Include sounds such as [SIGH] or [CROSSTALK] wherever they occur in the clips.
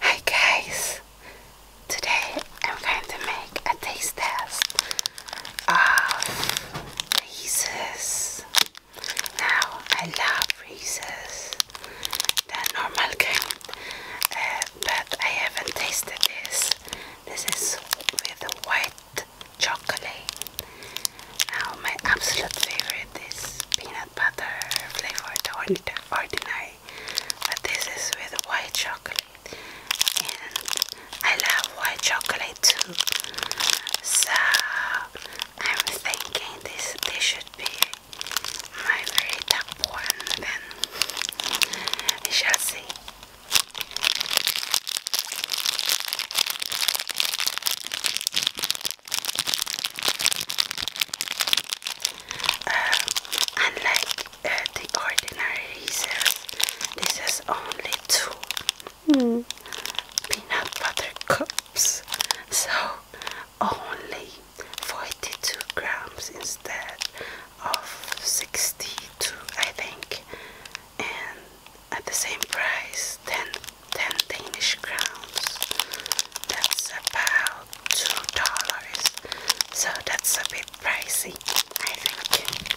Hi guys, today I'm going to make a taste test of Reese's. Now I love Reese's, the normal kind, uh, but I haven't tasted this. This is with white chocolate. Now my absolute favorite is peanut peanut butter flavored ordinary, but this is with white chocolate, and I love white chocolate too. So I'm thinking this this should be my very top one. Then we shall see unlike um, uh, the ordinary Reese's, this is only two hmm. peanut butter cups, so only 42 grams instead of 62, I think. And at the same price 10, Danish crowns. That's about $2. So that's a bit pricey, I think.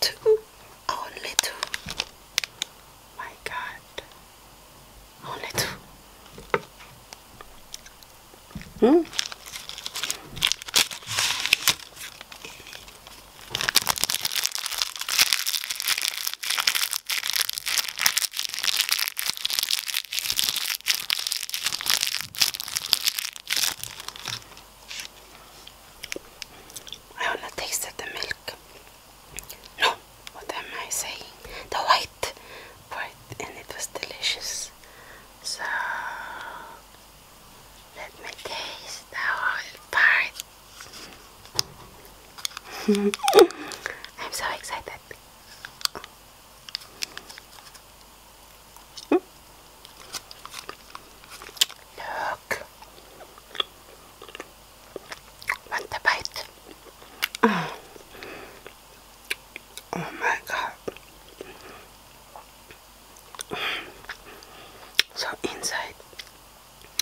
Two, only two. My God, only two. Hmm. I wanna taste the milk. No, what am I saying? The white part, and it was delicious. So let me taste the whole part. [LAUGHS] I'm so excited. Look. Want bite? Oh my god. So inside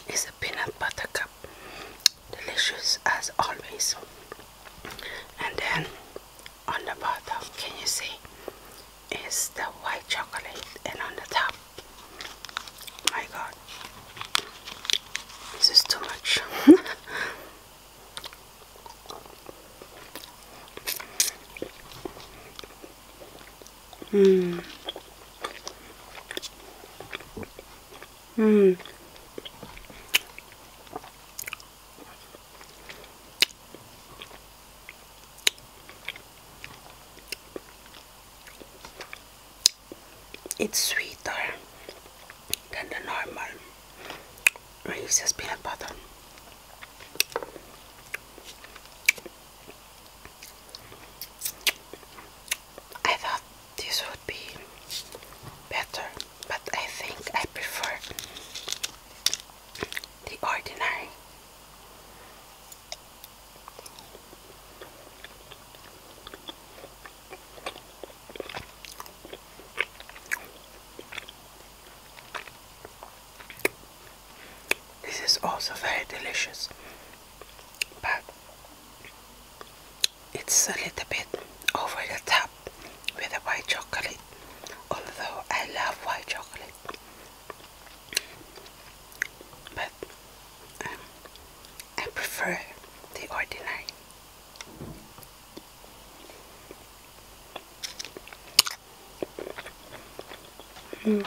is a peanut butter cup delicious as always. And then on the bottom, can you see, is the white chocolate, and on the top, my God, this is too much. [LAUGHS] Mm. Mm. It's sweeter than the normal Reese's peanut butter. I thought this would be better, but I think I prefer the ordinary. This is also very delicious, but it's a little bit over the top with the white chocolate, although I love white chocolate. But um, I prefer the ordinary. Mm.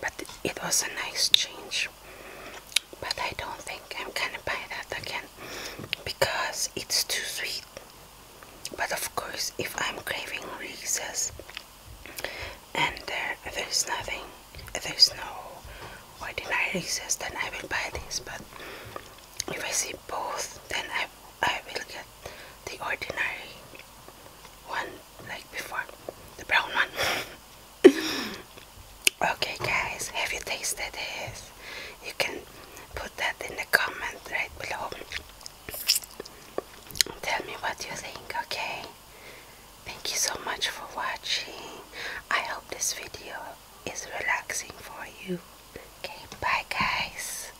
but it was a nice change. But I don't think I'm gonna buy that again because it's too sweet. But of course, if I'm craving Reese's and there there's nothing, there's no ordinary Reese's, then I will buy this. But if I see both, then I I will get the ordinary one like before the brown one [LAUGHS] okay guys have you tasted this you can put that in the comment right below tell me what you think okay thank you so much for watching i hope this video is relaxing for you okay bye guys